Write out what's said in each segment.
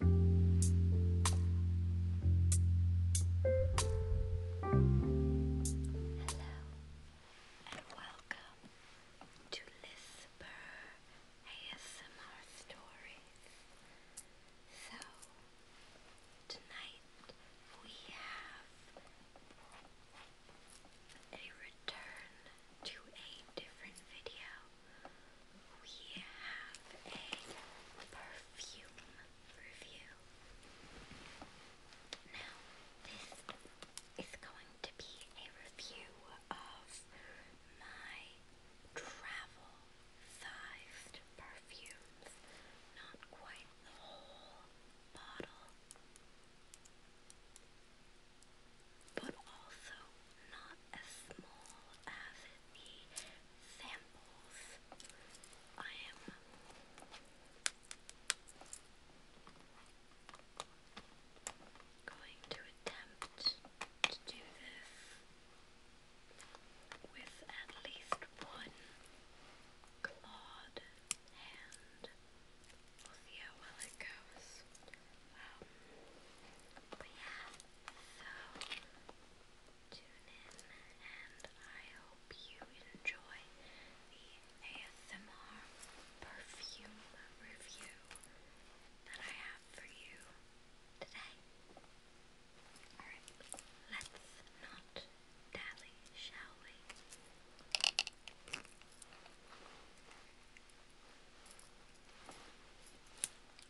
and welcome to Lisper ASMR Stories. So, tonight we have a return to a different video we have a perfume review. Now, this is going to be a review of my travel sized perfumes, not quite the whole bottle. But also not as small as samples. I am going to attempt to do this with at least one clawed hand. We'll see how well it goes. Um, so tune in and I hope you enjoy the ASMR perfume review that I have for you today. Alright, let's not dally, shall we?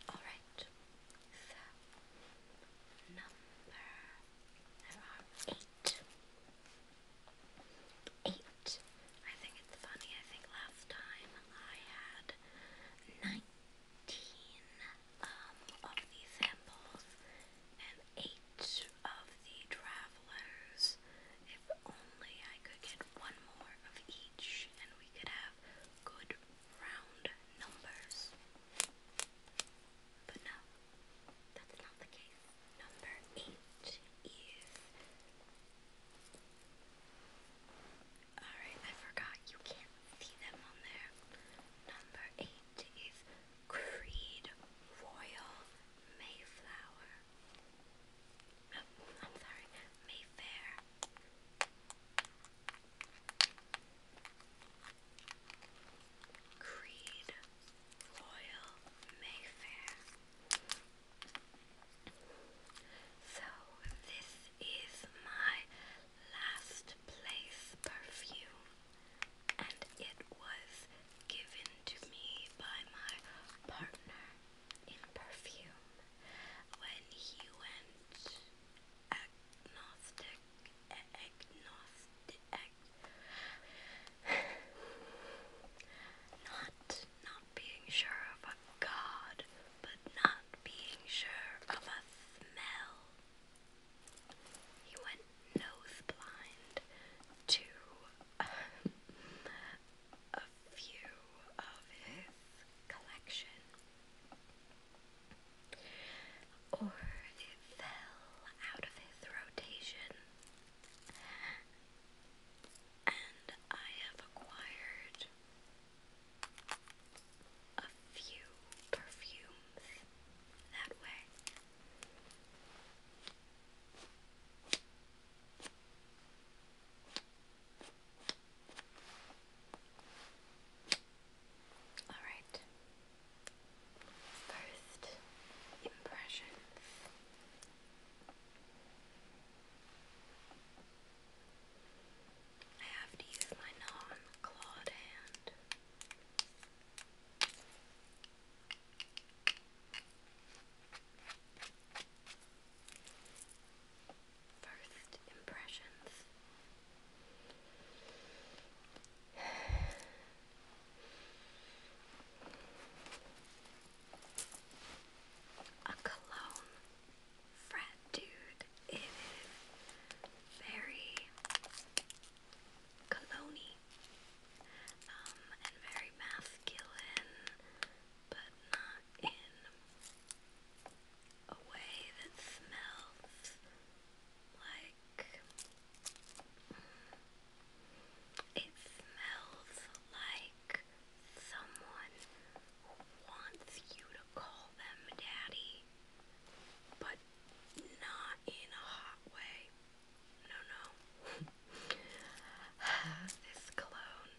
Alright, so, number there are eight. Eight. I think it's funny. I think last time I had nineteen um, of these samples and eight of the travelers. If only I could get one more of each, and we could have good round numbers. But no, that's not the case. Number eight is. Alright, I forgot you can't see them on there. Number eight is Creed Royal Mayflower oh, I'm sorry, Mayfair. Creed Royal Mayfair. So, this is my last place perfume, and it was given to me by my partner in perfume when he went agnostic, agnostic, not not being sure of a god, but not being sure of a smell. He went nose to a few of his collection or it fell out of his rotation, and I have acquired a few perfumes that way. Alright. First impressions. I have to use my non clawed hand first impressions. A cologne frat dude. It is very cologne um, and very masculine but not in a way that smells like mm, it smells like someone who wants you to call them daddy, but not in a hot way. No, no. this cologne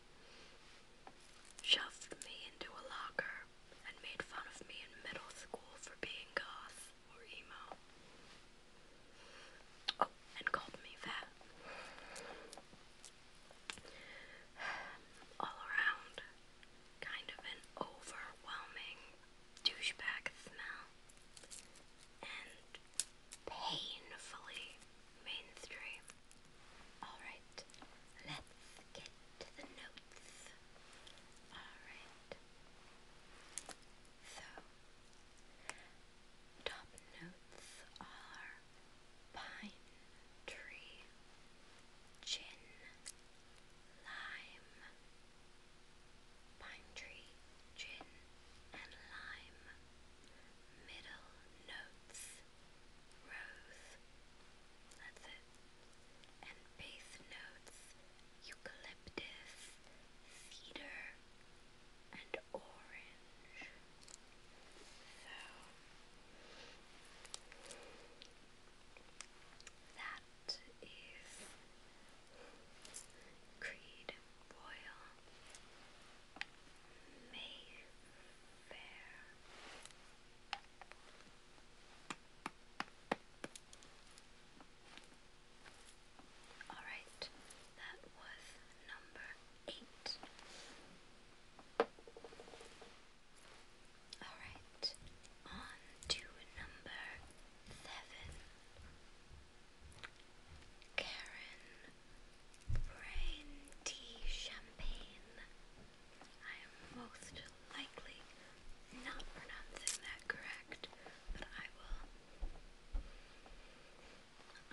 shoved me into a locker, and made fun of me in middle school for being goth or emo. Oh, and called me fat. All around, kind of an overwhelming douchebag smell. And painfully mainstream. Alright, let's get to the notes. Alright. So, top notes are pine tree, gin, lime, pine tree, gin, and lime. Middle notes, rose, that's it. And bass notes, eucalyptus, cedar, and orange. So that is Creed Royal Mayfair. All right, that was number eight. All right, on to number seven. Karen Brandy Champagne I am most likely not pronouncing that correct, but I will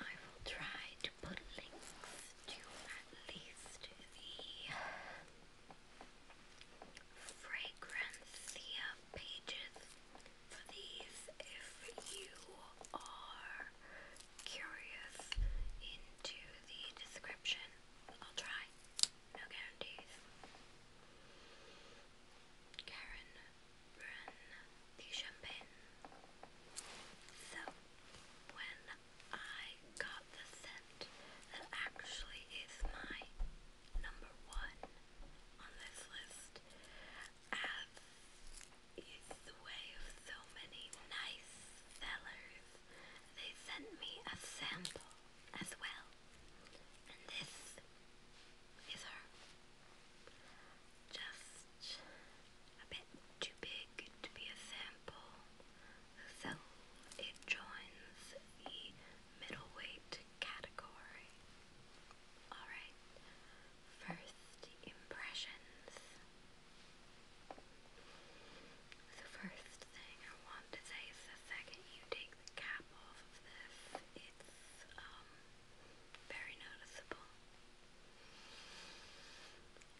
I will try to put links to at least the Fragrancia pages for these if you are curious into the description but I'll try. No guarantees. Karen the champagne. So, when I got the scent that actually is my number one on this list, as is the way of so many nice sellers, they sent me a sample as well. And this is Just a bit too big to be a sample, so it joins the middleweight category. Alright, first impressions. The first thing I want to say is the second you take the cap off of this, it's um, very noticeable.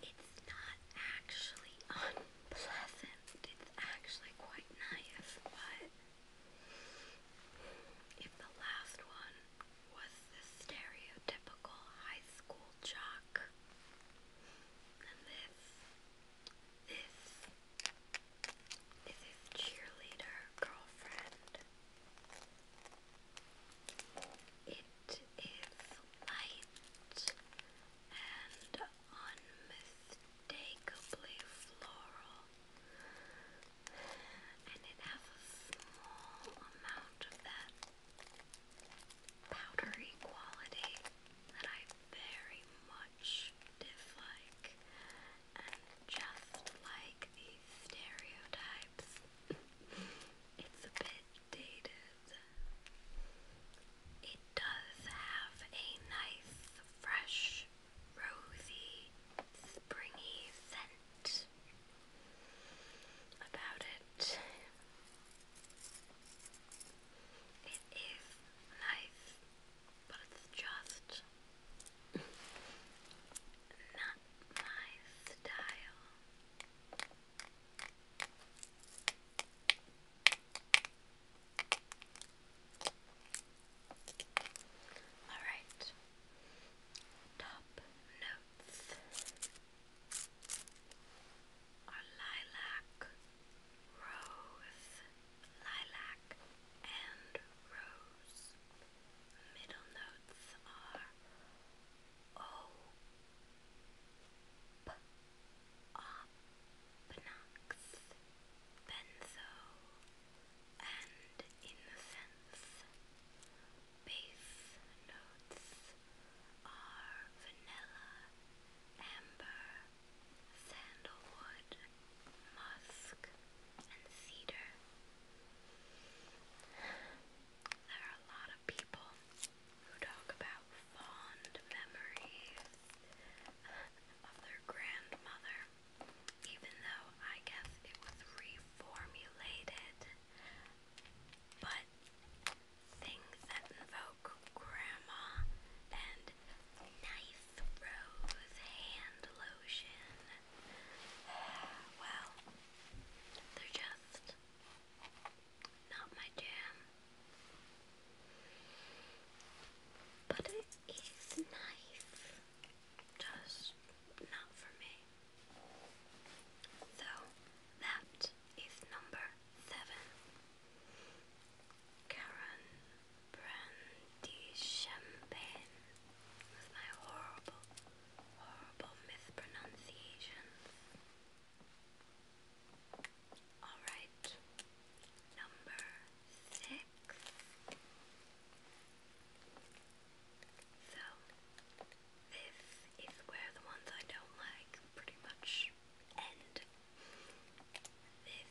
It's not actually unpleasant, it's actually quite nice, but if the last one was the stereotypical high school jock, and this, this is cheerleader girlfriend. It is light and unmistakably floral. And it has a small amount of that powdery quality that I very much dislike and just like these stereotypes it's a bit dated it does have a nice fresh rosy springy scent about it it is nice, but it's just not my style. All right. Top notes are lilac, rose, lilac, and rose. Middle notes are ope, opnox, benzo, and innocence. Bass notes are vanilla, amber, sandalwood, musk, and cedar. There are a lot of people who talk about fond memories of their grandmother, even though I guess it was reformulated. But things that invoke grandma and knife rose hand lotion. Well, they're just not my jam. But it is nice. Just not for me. So that is number seven. Karen Brandy Champagne with my horrible, horrible mispronunciations. Alright, number six. So, this is where the ones I don't like pretty much and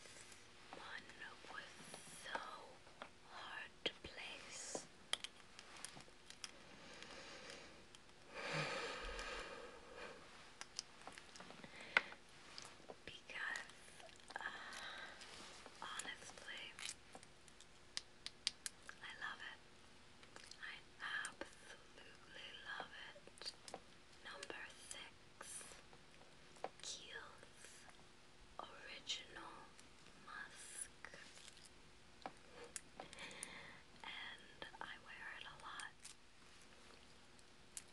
this one was so hard to place. Because, uh, honestly, I love it. I absolutely love it. Number six, Kiehl's Original Musk. and I wear it a lot.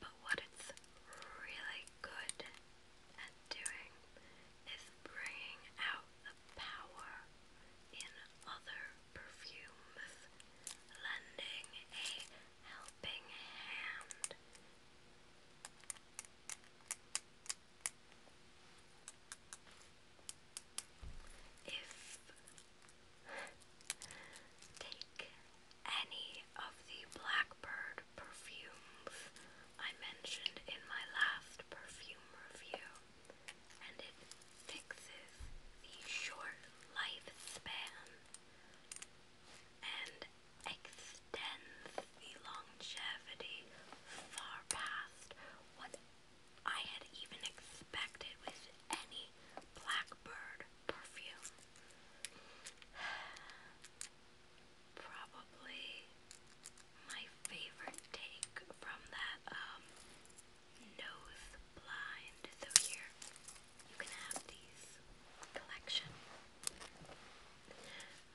But what it's really good at doing is bringing out the power in other perfume, lending a helping hand. If take any of the blackbird perfumes I mentioned in my last perfume review, and it fixes the short lifespan and extends the longevity far past what I had even expected with any Blackbird perfume. Probably my favorite take from that um, nose blind. So here you can have these collection.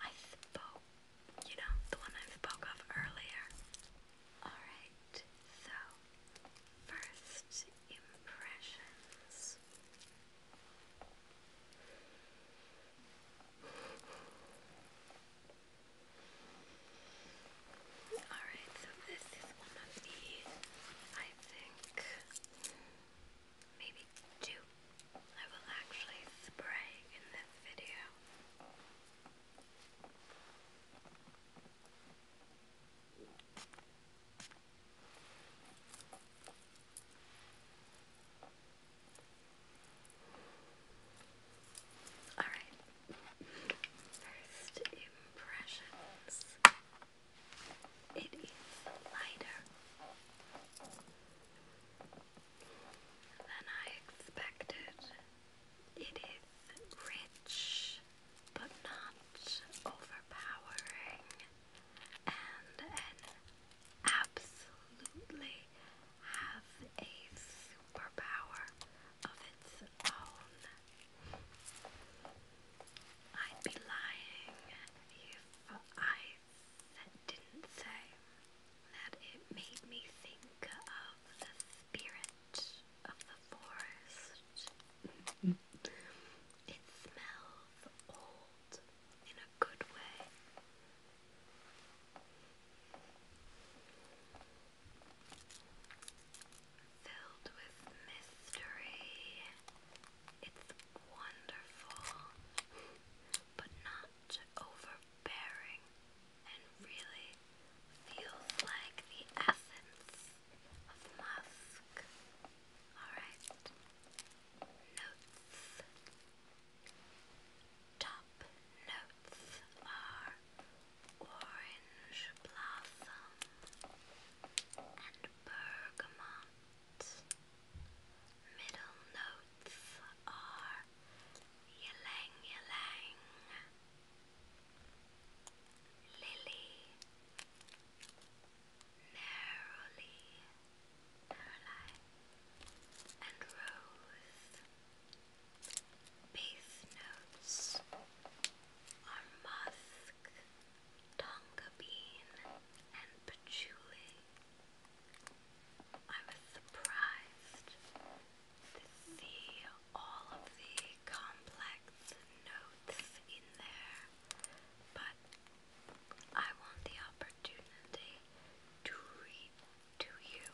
I spoke, you know, the one I spoke of earlier. Alright, so first impressions. Alright, so this is one of the, I think, maybe two I will actually spray in this video. Alright, First impressions. It is lighter than I expected. It is rich but not overpowering and absolutely have a superpower of its own. I'd be lying if I didn't say that it made me think of the spirit of the forest. it smells old in a good way filled with mystery. It's wonderful, but not overbearing, and really feels like the essence of musk. Alright, notes. Top notes are orange blossom and bergamot. Middle notes are ylang ylang, lily, narrowly, narrowly, and rose. Base notes are musk, tonka bean, and patchouli. I was surprised to see all of the complex notes in there, but I want the opportunity to read to you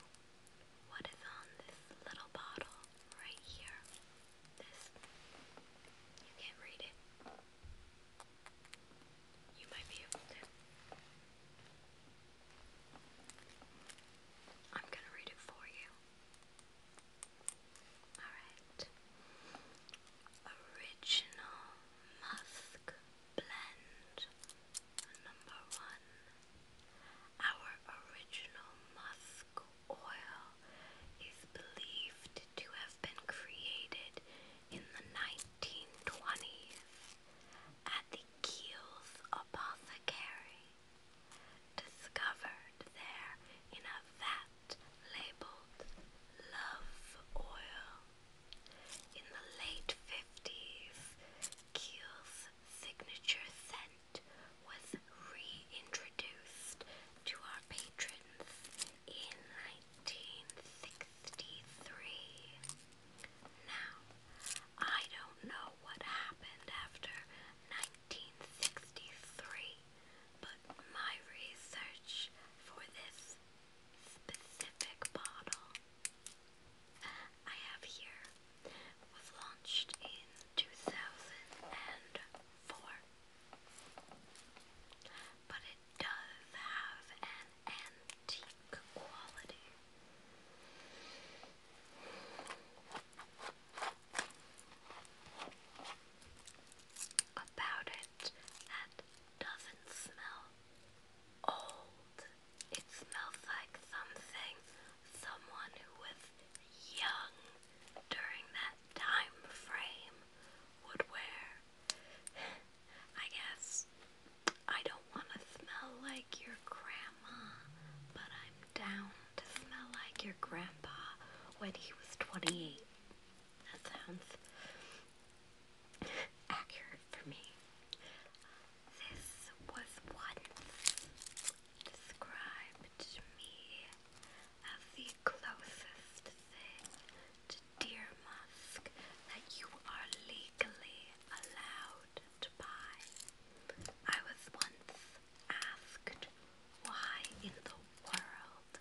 what is on this little bottle right here. This. You can't read it. You might be able to. I'm gonna read it for you. Alright. Original Musk Blend number one. Our original musk musk oil is believed to have been created in the 1920s at the Kiel's apothecary, discovered there in a vat labeled Love Oil. In the late 50s, Kiel's signature scent fruit was reintroduced to our patrons in 1963. Now, I don't know what happened after 1963, but my research for this specific bottle I have here was launched in 2004. But it does have an antique quality. About it that doesn't smell old. It smells like something someone who was young during that time frame would wear. I guess I don't want to smell like your grandma, but I'm down to smell like your grandpa when he was 28. That sounds accurate for me. This was once described me as the closest to deer musk that you are legally allowed to buy. I was once asked why in the world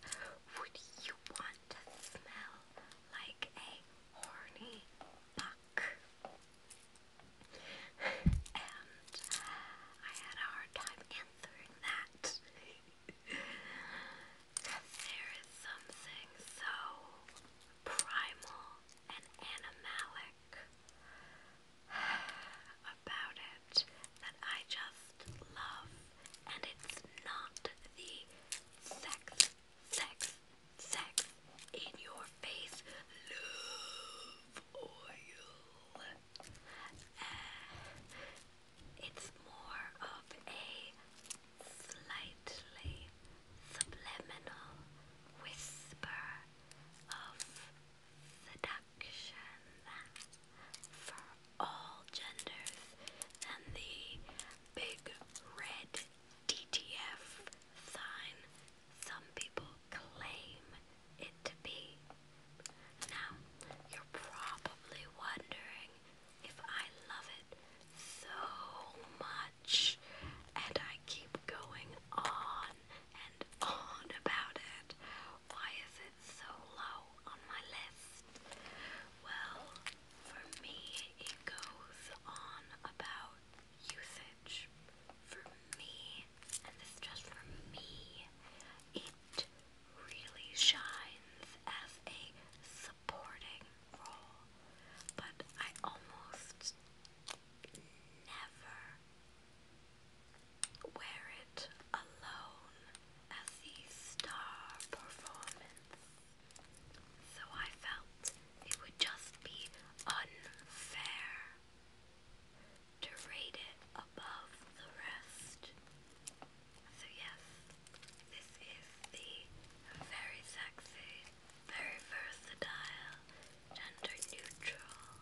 would you want to smell like a horny buck? and I had a hard time answering through that. there is something so primal and animalic about it that I just love, and it's not the sex, sex, sex in your face love oil uh, it's more of a slightly subliminal whisper of seduction for all genders and the big red DTF sign some people claim it to be. Now, you're probably wondering if I love it so much and I keep going on and on about it. Why is it so low on my list? Well, for me, it goes on about usage. For me, and this just for me, it really shines as a supporting role, but I almost never wear it alone as the star performance. So I felt it would just be unfair to rate it above the rest. So yes, this is the very sexy, very versatile, gender neutral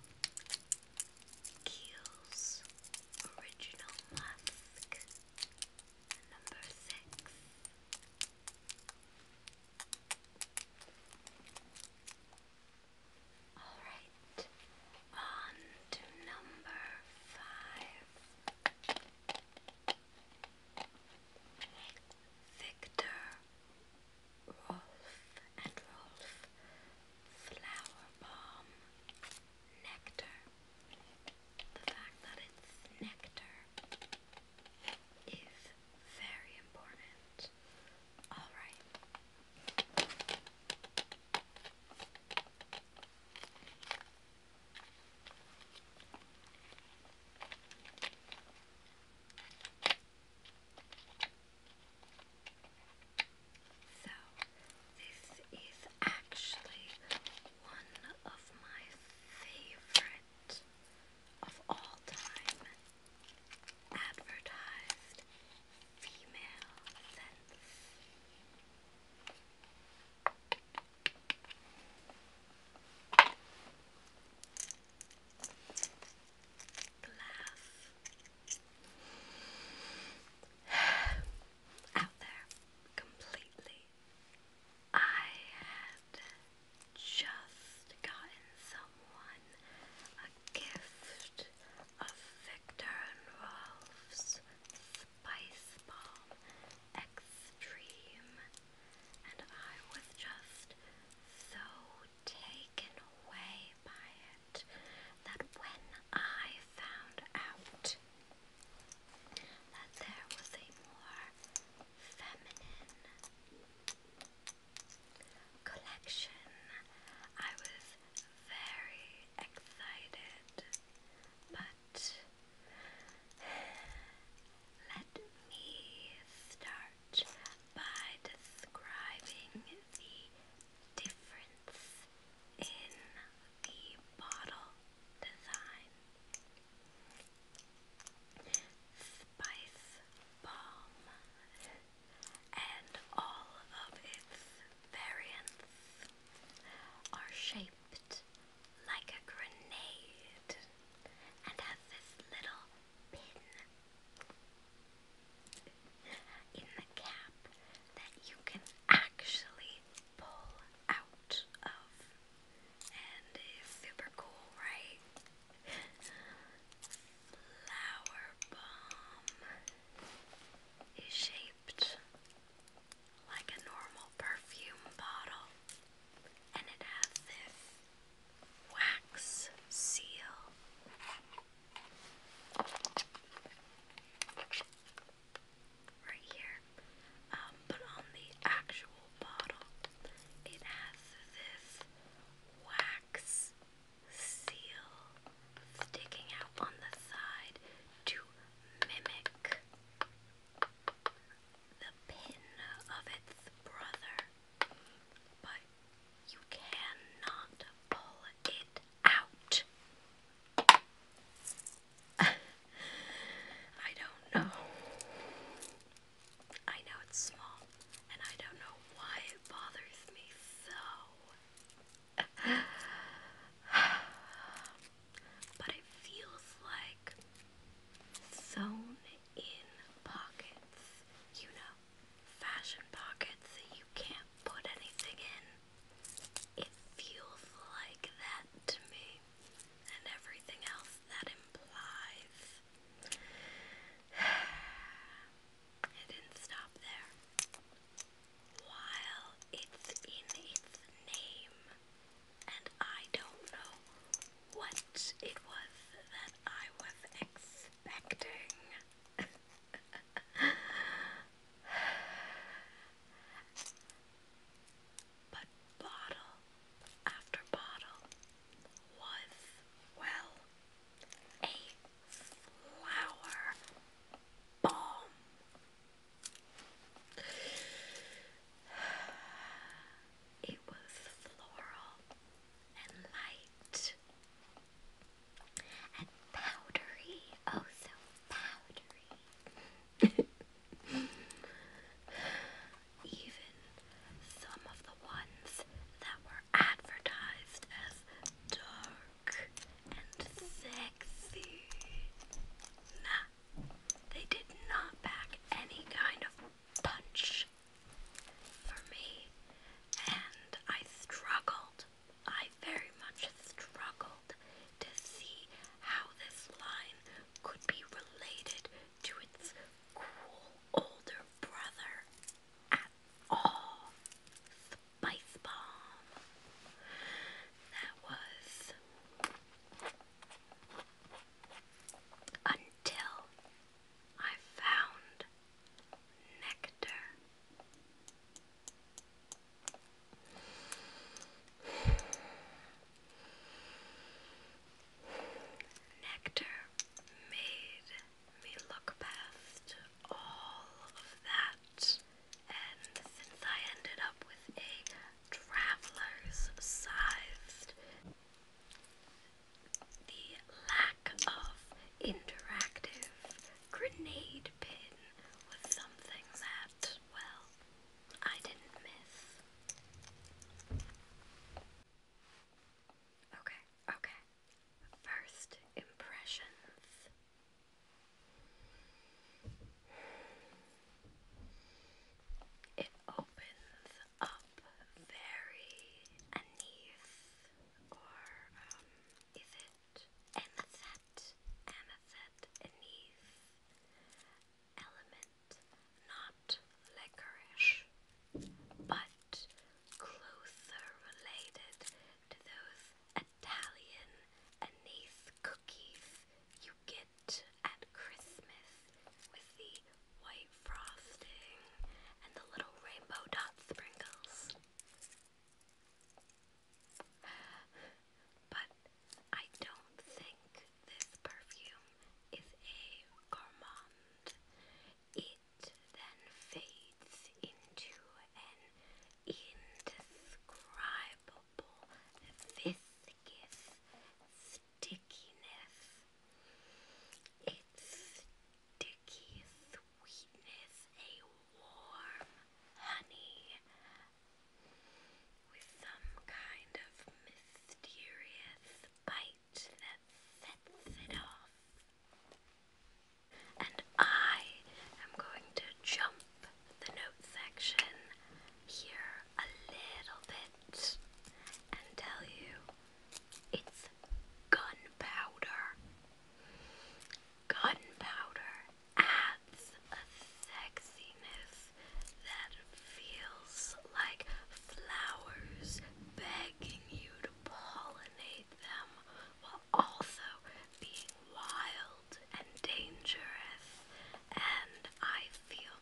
Kiehl's Original Musk number six. Alright, on to number five. Victor Rolf and Rolf Flower Bomb Nectar. The fact that it's nectar is very important. Alright, so, this is actually one of my favorite of all time advertised female sense. Glass out there completely. I had just gotten someone gift of Victor and Rolf's Spice Bomb Extreme, and I was just so taken away by it that when I found out that there was a more feminine collection, I was very excited, but let me start by describing the difference in the bottle design. Spice Bomb and all of its variants are shaped like a grenade and has this little pin in the cap that you can actually pull out of and it's super cool, right? Flower bomb is shaped like a normal perfume bottle, and it has this wax seal. Right here, um, but on the actual bottle, it has this wax seal sticking out on the side to mimic the pin of its brother, but you cannot pull it out. I don't know. I know it's small, and I don't know why it bothers me so but it feels like sewn in pockets, you know, fashion pockets that you can't put anything in. It feels like that to me, and everything else that implies. It didn't stop there while it's in its name, and I don't know what it was that I was expecting. but bottle after bottle was, well, a flower bomb. It was floral and light and powdery, oh so powdery. Even some of the ones that were advertised as dark and sexy. Nah, they did not back any kind of punch for me, and I struggled. I very much struggled to see how this line could be related to its cool older brother Oh, Spice Bomb. That was until I found nectar. Nectar made me look past all of that. And since I ended up with a traveler's sized, the lack of interactive grenade pin was something that, well, I didn't miss. Okay, okay. First impressions. It opens up very anise, or um, is it anisette? Anisette, anise, element, not licorice, but closer related to those Italian anise cookies you get at Christmas with the white frosting and the little rainbow dot sprinkles. But I don't think this perfume is a gourmand. It then fades into an indescribable viscous stickiness. Its sticky sweetness, a warm honey with some kind of mysterious bite that sets it off. And I am going to jump the note section here a little bit and tell you it's gunpowder. Gunpowder adds a sexiness that feels like flowers begging you to pollinate them while also being wild and dangerous, and I feel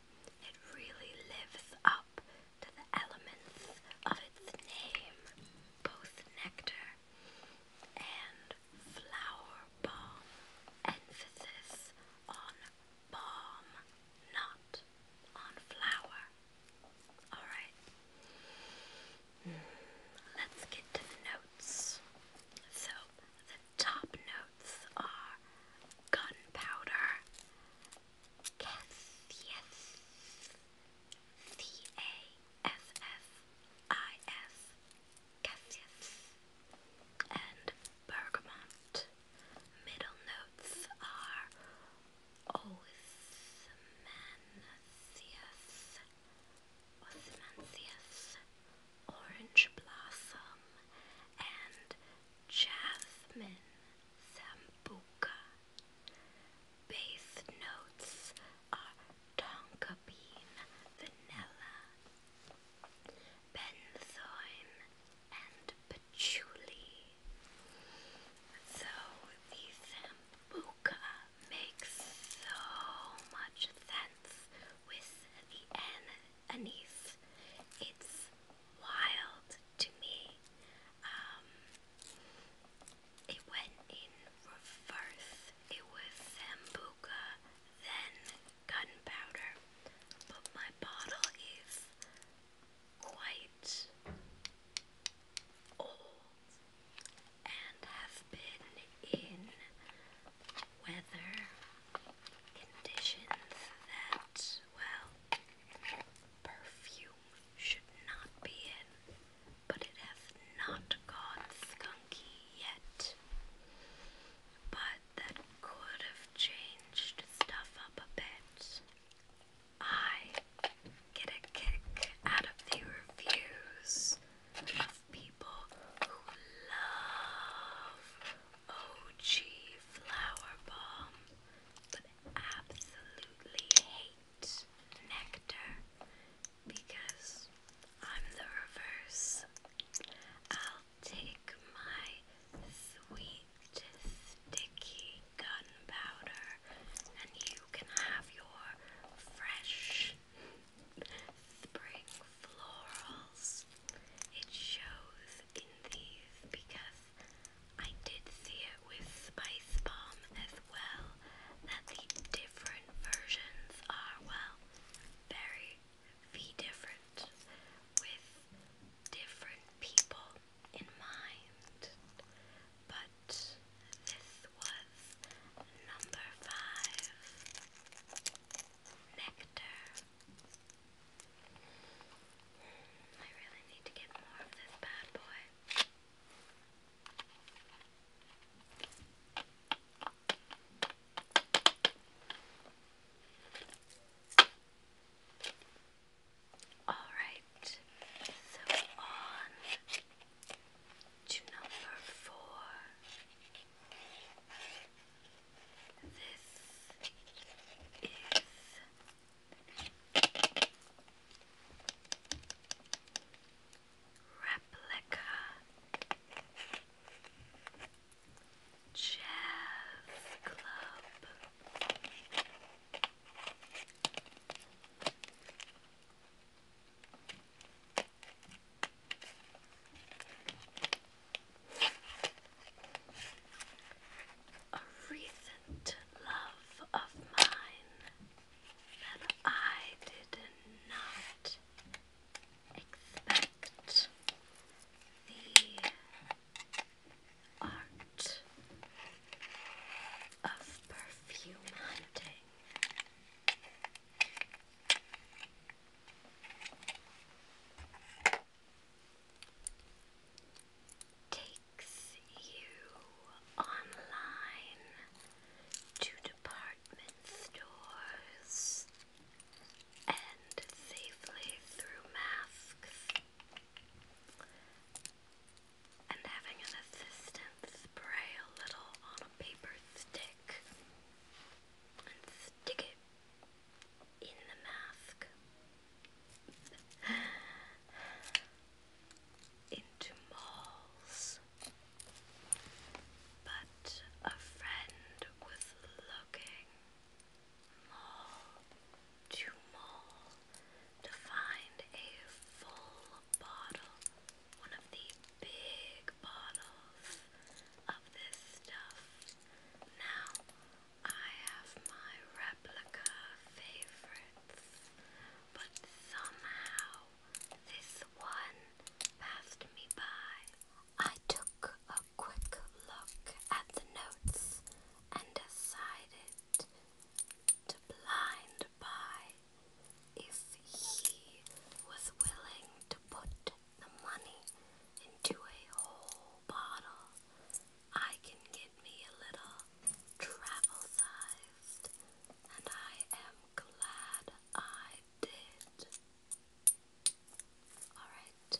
it really lives up to the elements of its name, both nectar and flower balm. Emphasis on balm, not on flower. Alright. Let's get to the notes. So, the top notes are gunpowder, Cass, C A S S I S, Cassius, and bergamot. Middle notes are Oismansius, osmanthus, orange blossom, and jasmine sambuca. Base notes are tonka bean, vanilla, benzoin, and patchouli. So the sambuca makes so much sense with the N anise. It's wild to me. Um, it went in reverse. It was Sambuca, then gunpowder. But my bottle is quite old and have been in weather conditions that, well, perfume should not be in, but it has not gone skunky yet. But that could have changed stuff up a bit. I get a kick out of the reviews of people who love OG Flower but absolutely hate Nectar because I'm the reverse. I'll take my sweet, sticky gunpowder, and you can have your fresh, spring florals. It shows in these because I did see it with Spice Bomb as well, that the different versions are, well, very different with different people in mind but this was number five nectar. I really need to get more of this bad boy. All right, so on to number four. This is replica jazz club. A recent love of mine that I did not expect the art of perfume hunting. Takes you online to department stores and safely through masks and having an assistant spray a little on a paper stick and stick it in the mask into malls. But a friend was looking mall to mall to find a full bottle one of the big bottles of this stuff. Now, I have my replica favorites, but somehow this one passed me by. I took a quick look at the notes and decided to blind buy if he was willing to put the money into a whole bottle, I can get me a little travel sized, and I am glad I did. Alright,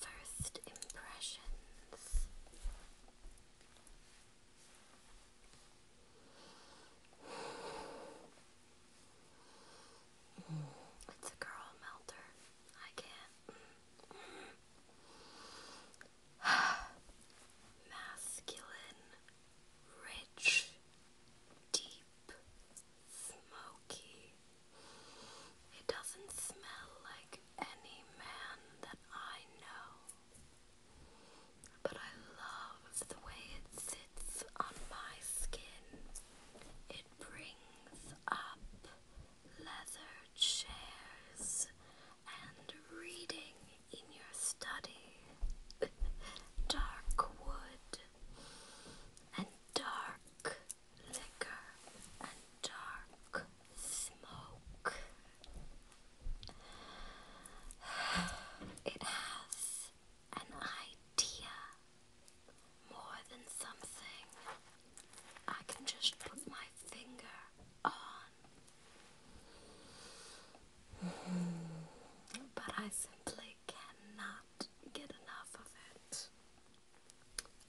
first impressions. It's a girl melter. I can't. Masculine, rich, deep, smoky. It doesn't smell like any man that I know. But I love the way it sits on my skin. It brings up leather chairs and reading in your study. dark wood and dark liquor and dark smoke. It has an idea more than something I can just put my finger on. But I simply cannot get enough of it.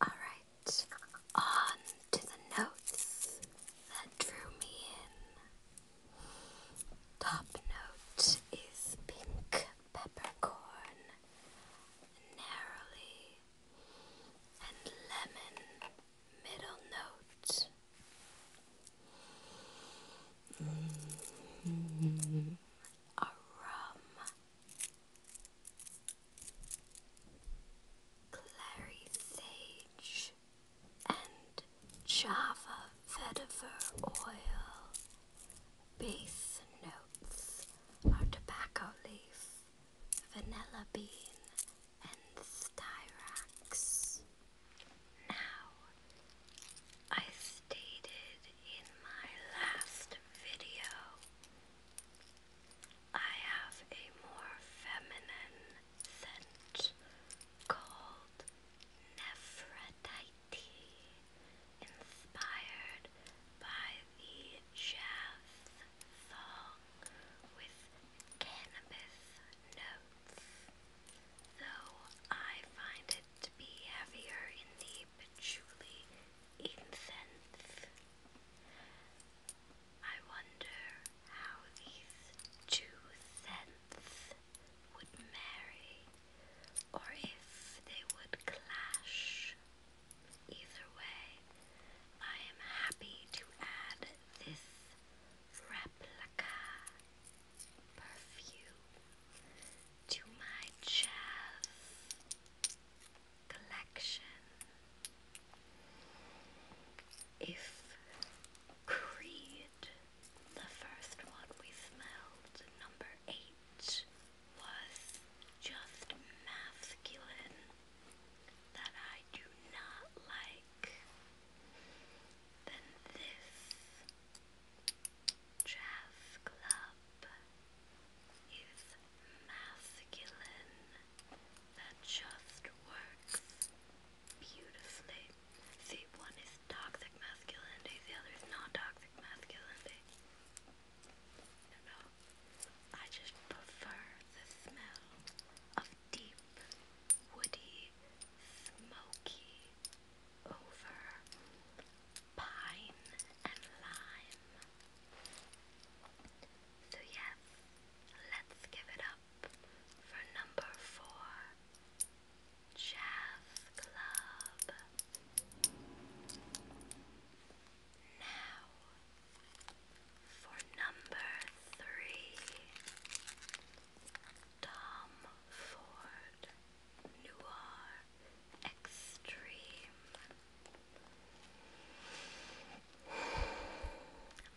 Alright, on to the notes that drew me in. Top note is pink peppercorn, narrowly, and lemon middle note. Mm rum. Clary sage and Java vetiver oil. Base notes are tobacco leaf, vanilla bean, and styrax. Now, I stated in my last video I have a more feminine scent called Nephrodite, inspired by the jazz song with cannabis notes, though I find it to be heavier in the patchouli incense. I wonder how these two scents would marry or if they would clash. Either way, I am happy to add this replica perfume to my jazz collection. If Creed the first one we smelled, number eight, was just masculine that I do not like. Then this jazz is masculine that just works beautifully. See, one is toxic masculinity, the other is non toxic masculinity. I just prefer the smell of deep, woody, smoky over pine and lime. So, yes, let's give it up for number four, Jazz Club. Now for number three, Tom Ford Noir Extreme.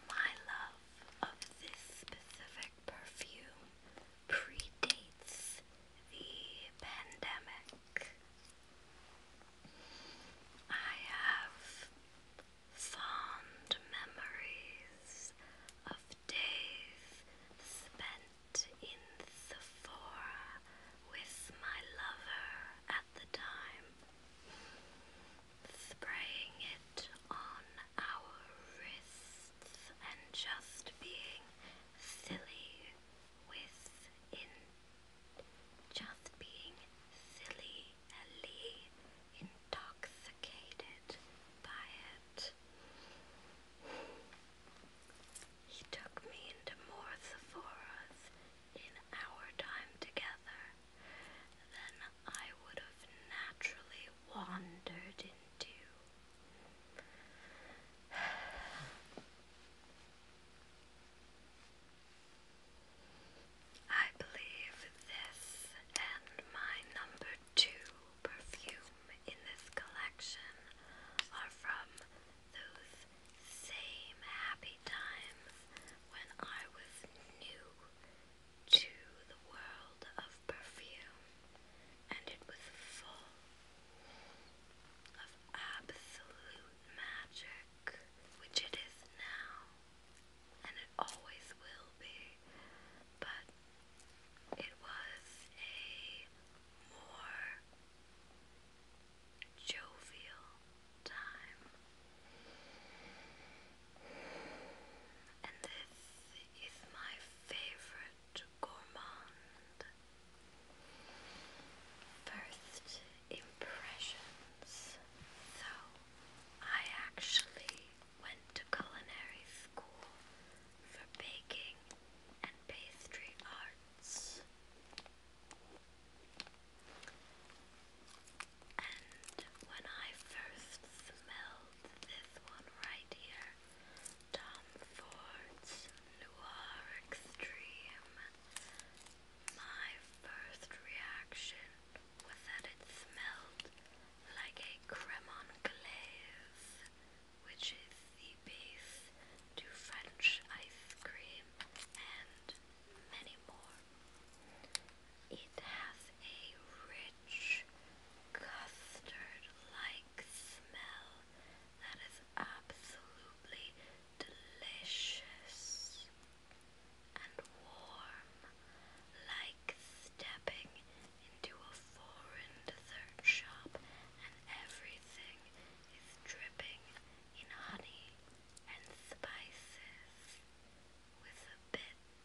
My love of this specific perfume predates the pandemic. I have fond memories of days spent in Sephora with my lover at the time, spraying it on our wrists and just being silly with in just being silly, intoxicated by it. He took me into more Sephora's in our time together. Then I would have naturally wandered into. I believe this and my number two perfume in this collection are from those same happy times when I was new to the world of perfume, and it was full of absolute magic, which it is now, and it always will be, but it was a more jovial time and this is my favorite gourmand. First impressions. So, I actually went to culinary school for baking and pastry arts. And when I first smelled this one right here. Tom Ford's Noir Extreme. My first reaction was that it smelled like a creme anglaise, which is the base to French ice cream and many more. It has a rich rich custard like smell that is absolutely delicious and warm, like stepping into a foreign dessert shop, and everything is dripping in honey and spices with a bit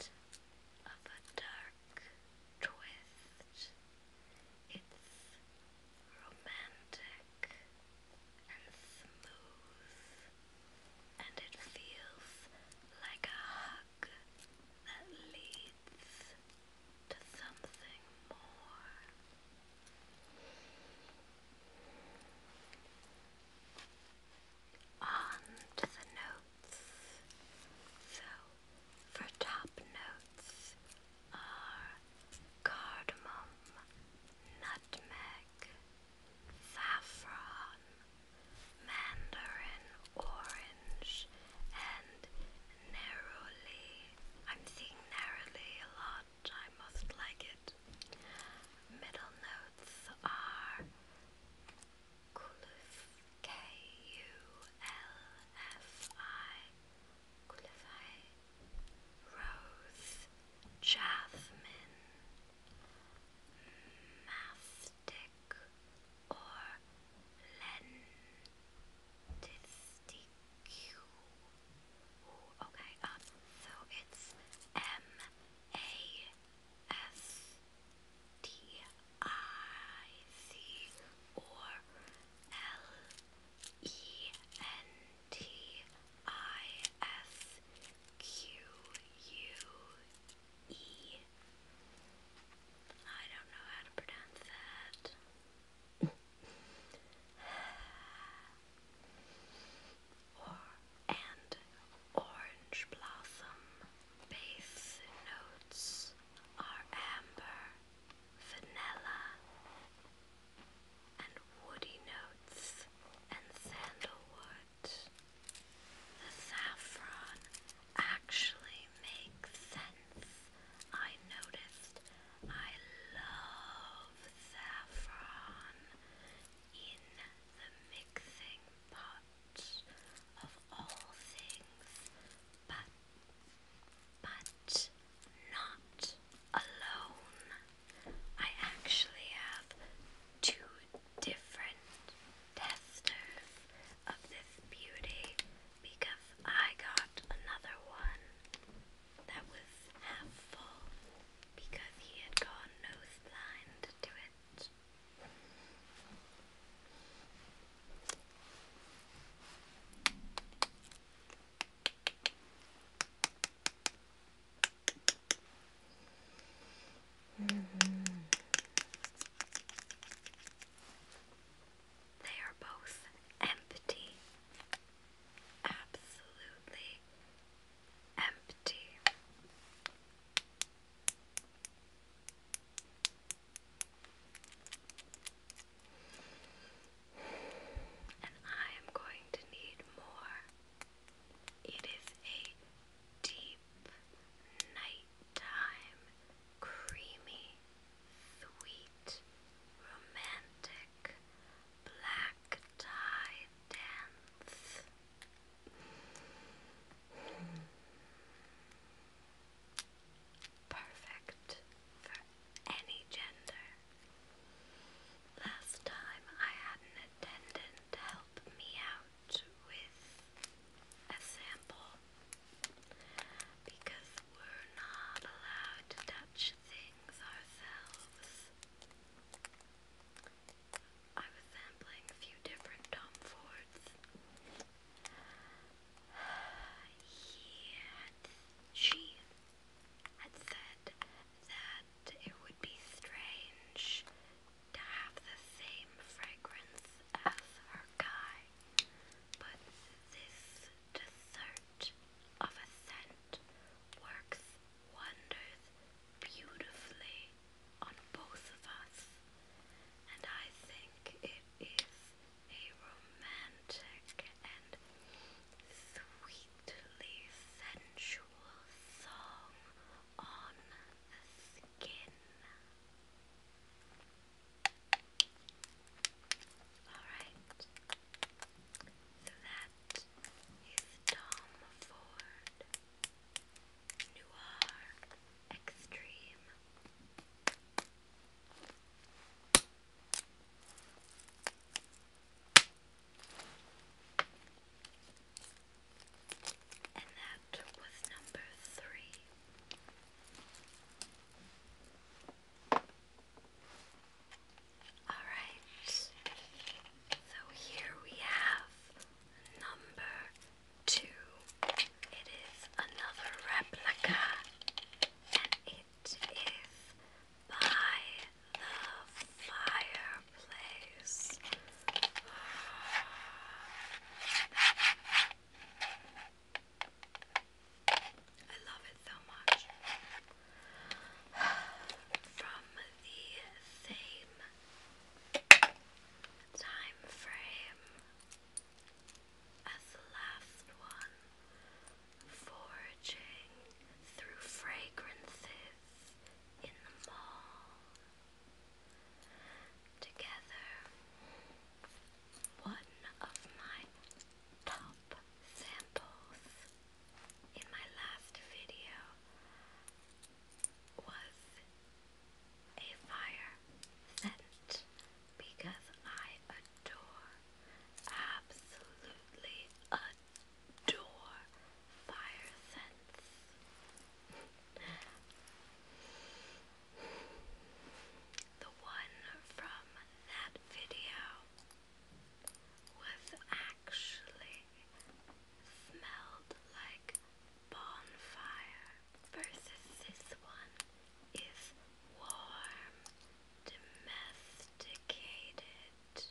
of a dark twist. It's romantic and smooth, and it feels like a hug that leads to something more. On the note. So, for top notes are cardamom, nutmeg, saffron, mandarin orange, and narrowly. I'm seeing narrowly a lot, I must like it. Middle notes are Kulfi, K-U-L-F-I, Rose, Jasmine, Mastic, or Okay, um, so it's M-A. S T I C or L E N T I S Q U E. I don't know how to pronounce that. or and orange blossom Base notes are amber, vanilla, and woody notes and sandalwood. The saffron actually makes sense. I noticed I love saffron in the mixing pot of all things, but but not alone. I actually have two different testers of this beauty because I got another one that was half full because he had gone nose to it. Mm-hmm. They are both empty, absolutely empty. And I am going to need more. It is a deep nighttime, creamy, sweet, romantic black tie dance. Perfect for any gender. Last time I had an attendant help me out with a sample because we're not allowed to touch things ourselves. I was sampling a few different Tom she had said that it would be strange to have the same fragrance as her guy, but this dessert of a scent works wonders beautifully on both of us, and I think it is a romantic and sweetly sensual song on the skin. Alright, so that is Tom Ford noir, extreme. And that was number three. Alright, so here we have number two. It is another replica, and it is by the fireplace. I love it so much. From the same time frame as the last one, foraging through fragrances in the mall. Together, one of my top samples in my last video was a fire scent because I adore, absolutely adore fire scents. the one from that video was actually smelled like bonfire versus this one is warm, domesticated.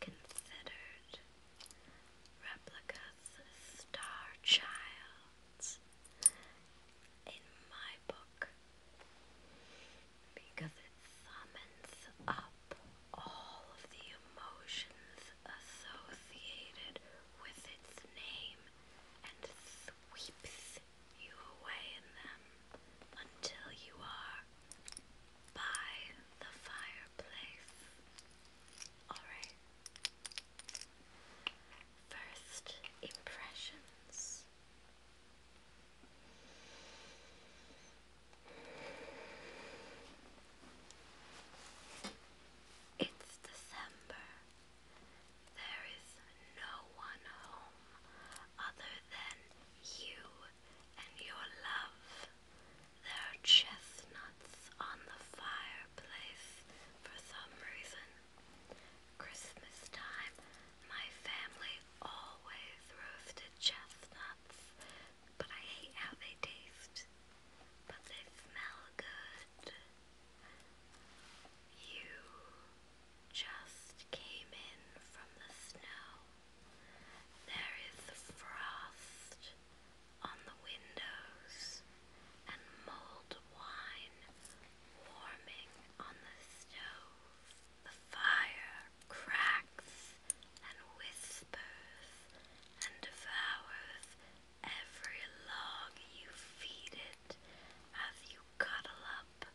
Considered replicas star childs in my book because it summons up all of the emotions associated with its name and sweeps you away in them until you are by the fireplace. Alright. First impressions. It's December. There is no one home other than you and your love. There are chestnuts on the fireplace for some reason. Christmas time, my family always roasted chestnuts but I hate how they taste. But they smell good. You just came in from the snow. There is frost on the windows and mulled wine warming on the stove. The fire cracks and whispers and devours every log you feed it as you cuddle up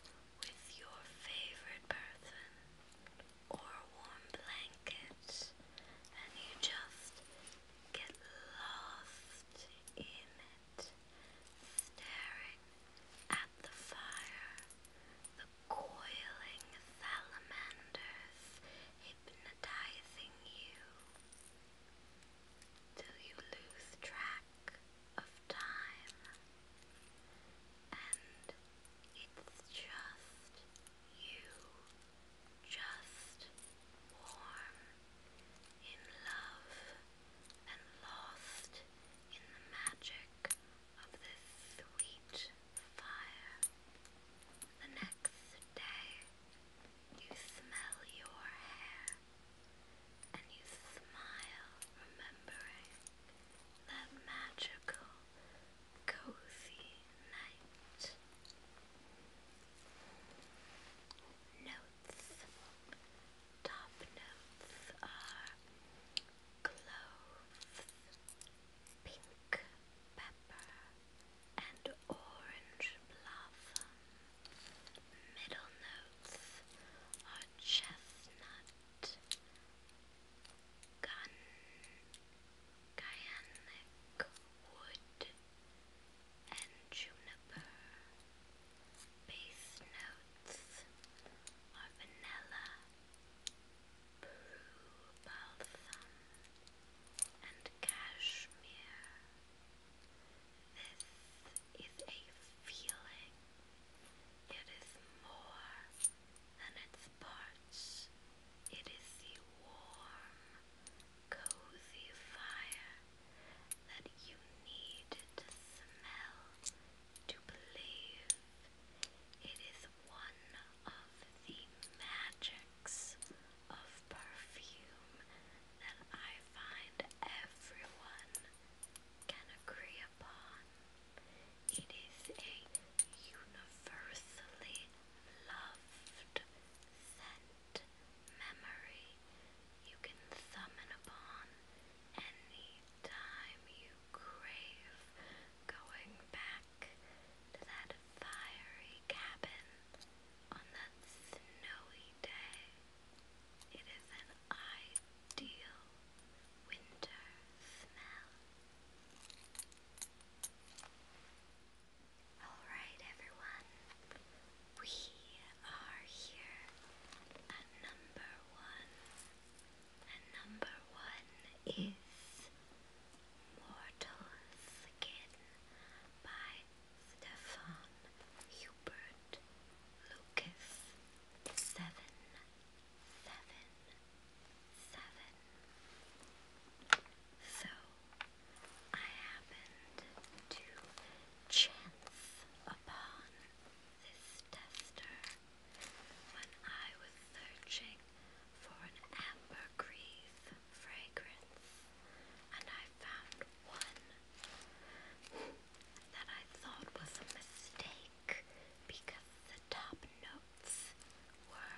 with your favorite person or warm blanket and you just get lost in it, staring at the fire, coiling salamanders hypnotizing you till you lose track of time. And it's just you, just warm in love and lost in the magic of this sweet fire. The next day, you smell your hair and you smile, remembering that magical, cozy night. Notes. Top notes are cloves, pink pepper, and orange blossom. Middle notes are chestnut, gun, cyanic wood, and juniper. Base notes are vanilla, blue balsam, and cashmere. This is a feeling. It is more than its parts. It is the warm, cozy fire that you need to smell to believe. It is one of the magics of perfume that I find everyone can agree upon. It is a universally loved scent memory you can summon upon any time you crave going back to that fiery cabin on that snowy day. It is an ideal winter smell. Alright, everyone, we are here at number one. And number one is Mortal Skin by Stefan Hubert Lucas. Seven, seven, seven. So I happened to chance upon this tester when I was searching for an ambergris fragrance, and I found one that I thought was a mistake because the top notes were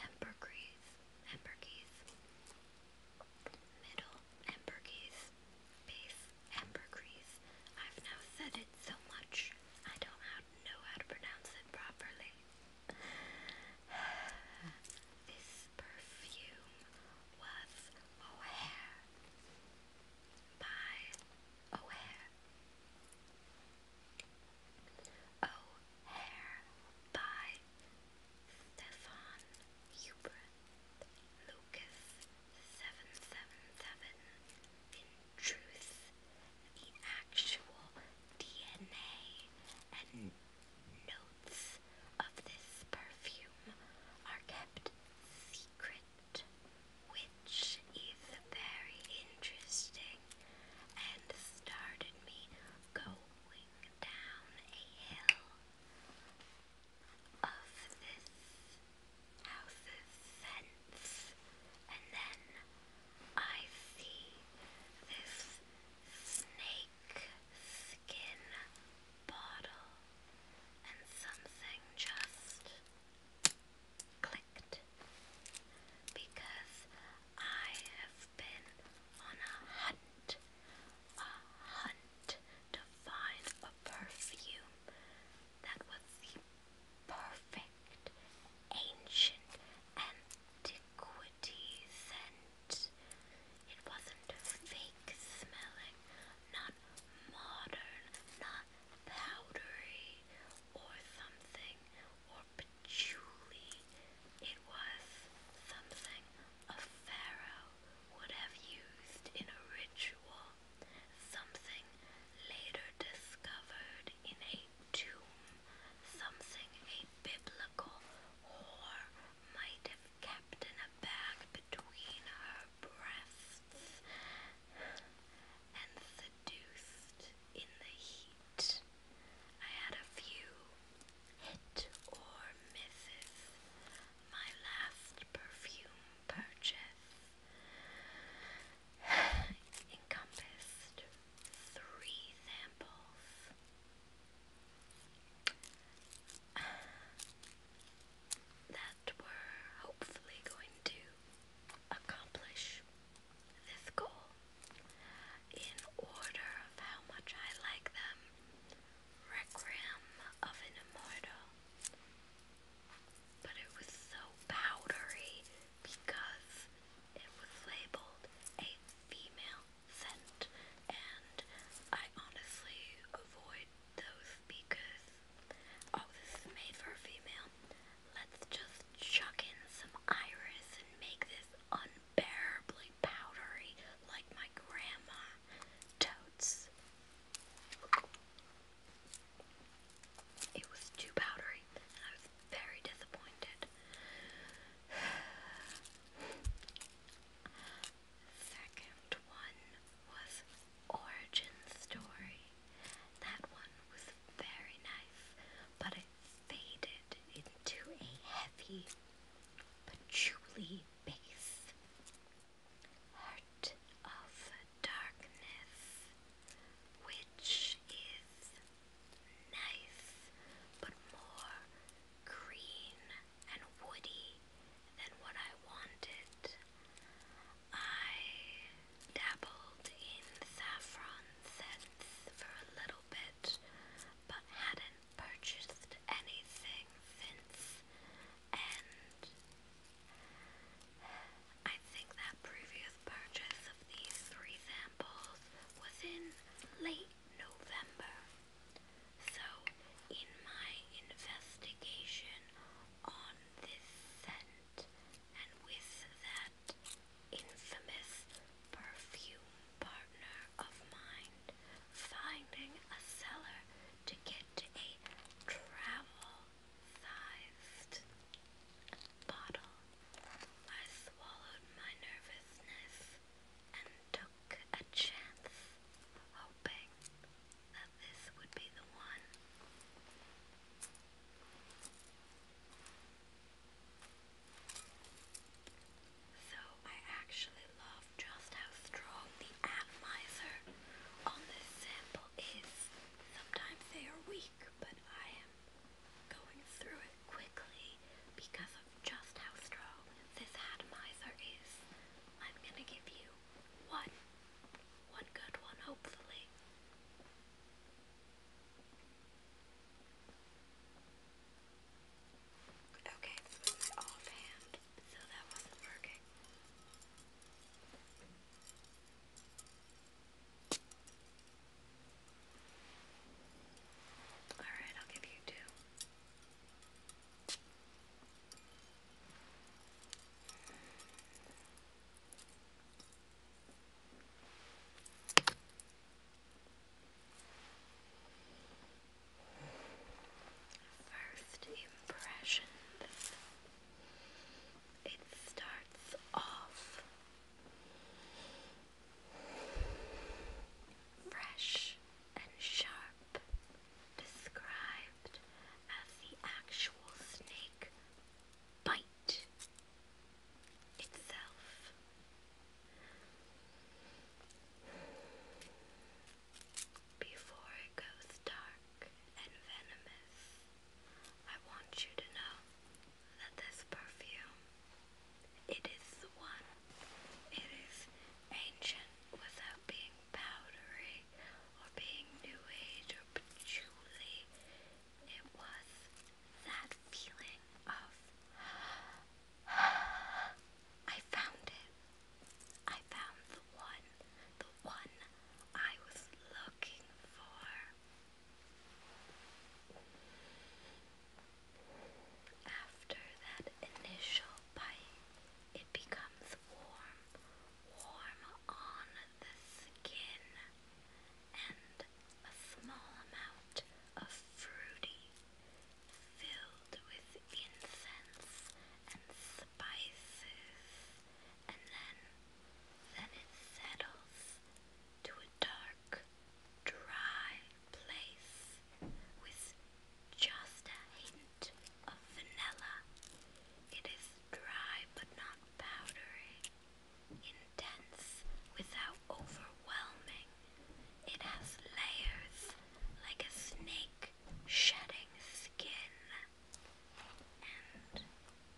ambergris, ambergris, middle ambergris, base ambergris. I've now said it so much, I don't how know how to pronounce it properly. This perfume was by O'Hare. O'Hare by Stefan Hubert Lucas seven seven seven truth, the actual DNA and notes of this perfume are kept secret, which is very interesting and started me going down a hill of this house's scents and then I see this snake skin bottle, and something just clicked because I have been on a hunt, a hunt to find a perfume that was the perfect ancient antiquity scent. It wasn't fake smelling, not modern, not powdery or something, or patchouli. It was something a pharaoh would have used in a ritual, something later discovered in a tomb, something a biblical whore might have kept in a bag between her breasts and seduced in the heat. I had a few hit or misses. My last perfume purchase encompassed three samples. that were hopefully going to accomplish this goal in order of how much I like them. Requiem of an Immortal. But it was so powdery because it was labeled a female scent, and I honestly avoid those because, oh, this is made for female. Let's just chuck in some iris and make this unbearably powdery like my grandma. Totes. It was too powdery, and I was very disappointed. Second one was Origin Story. That one was very nice, but it faded into a heavy patchouli base. Heart of Darkness, which is nice, but more green and woody than what I wanted. I dabbled in saffron scents for a little bit, but hadn't purchased anything since, and I think that previous purchase of these three samples was in late November. So, in my investigation on this scent and with that infamous perfume partner of mine, finding a seller to get a travel sized bottle I swallowed my nervousness and took a chance, hoping that this would be the one. So I actually love just how strong the atomizer on this sample is. Sometimes they are weak, but I am going through it quickly because of just how strong this atomizer is. I'm gonna give you one, one good one, hopefully. Okay, this was offhand, so that wasn't working. Alright, I'll give you two. First impressions. It starts off Fresh and sharp, described as the actual snake bite itself. Before it goes dark and venomous, I want you to know that this perfume, it is the one. It is ancient without being powdery or being new age or patchouli. It was that feeling of I found it. I found the one, the one I was looking for. After that initial bite, it becomes warm, warm on the skin, and a small amount of fruity, filled with incense and spices, and then, then it settles to dark, dry place with just a hint of vanilla. It is dry but not powdery, intense without overwhelming. It has layers like a snake shedding skin.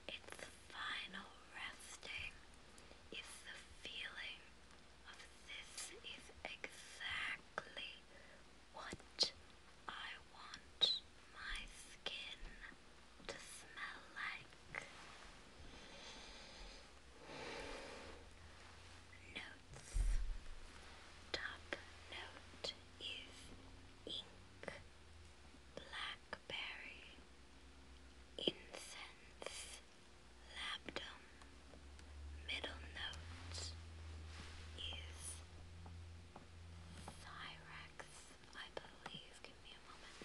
Its final resting is the feeling of this is exactly what I want my skin to smell like. Notes. Top note is ink, black blackberry, incense, labdum. Middle note is Cyrex, I believe. Give me a moment.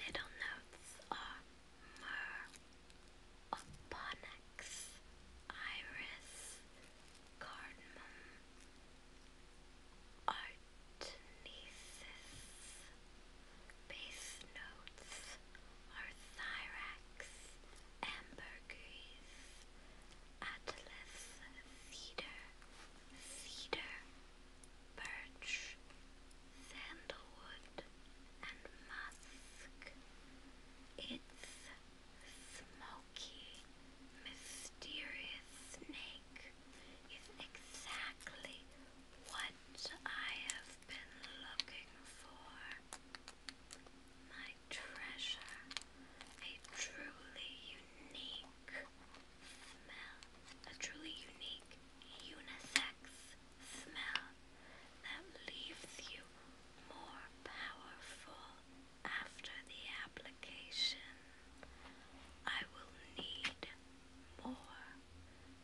Middle notes are myrrh, Iris, Cardamom, Artnesis. Base notes are Thyrax, Ambergris, Atlas, Cedar, Cedar, Birch, Sandalwood, and Musk. It's smoky, mysterious snake is exactly what I have been looking for. My treasure, a truly unique smell, a truly unique unisex smell that leaves you more powerful after the application. I will need more,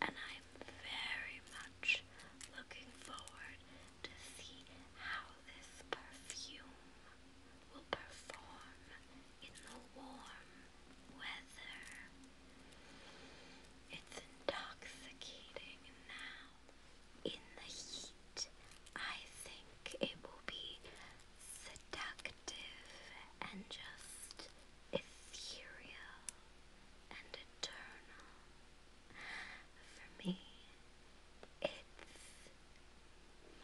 and I'm very much looking forward to see how this perfume will perform in the warm weather. It's intoxicating now. In the heat, I think it will be seductive and just ethereal and eternal. For me, it's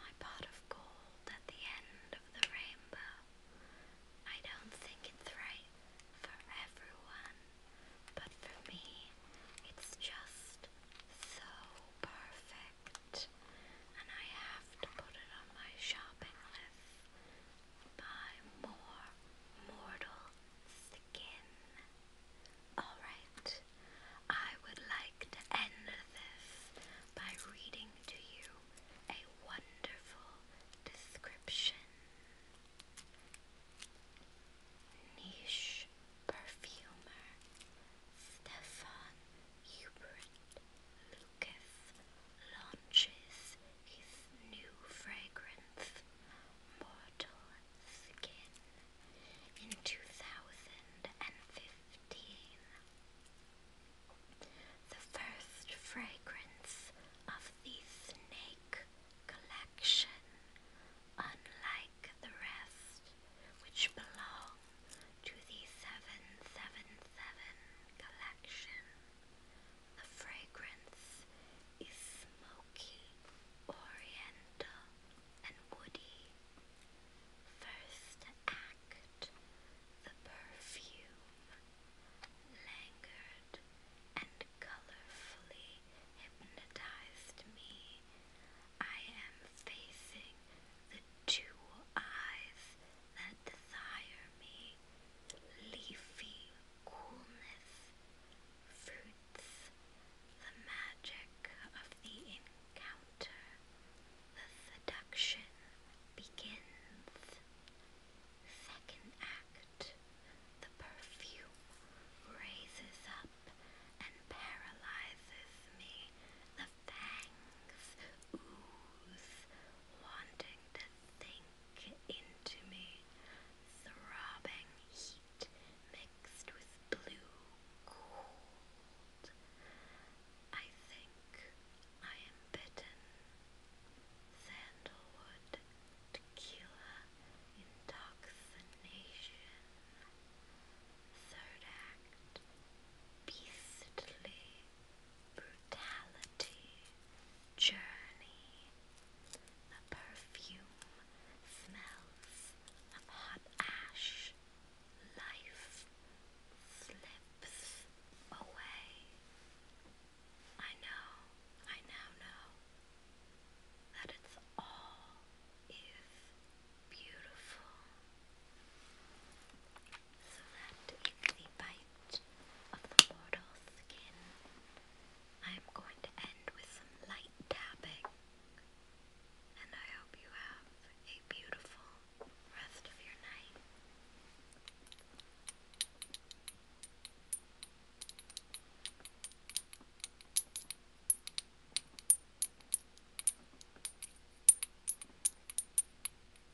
my pot of gold at the end of the rainbow. I don't think it's right for everyone, but for me, it's just so perfect and I have to put it on my shopping list. Buy more mortal skin. Alright, I would like to end this by reading to you a wonderful description. Niche perfumer Stefan Hubert Lucas launches his new fragrance, Mortal Skin, in 2015. The first fragrance of the Snake collection, unlike the rest, which belong to the 777 collection. The fragrance is smoky, oriental, and woody. First act, the perfume, languid and colorfully hypnotized me. I am facing the two eyes that desire me, leafy coolness, fruits, the magic of the encounter, the seduction begins. Second act, the perfume raises up and paralyzes me fangs ooze, wanting to sink into me, throbbing heat mixed with blue cold. I think I am bitten. Sandalwood, tequila, intoxication. Third act, beastly brutality, journey. The perfume smells of hot ash. Life slips away. I know, I now know that it's all is beautiful. So that is the bite of the mortal skin. I am going to end with some light tapping, and I hope you have a beautiful rest of your night.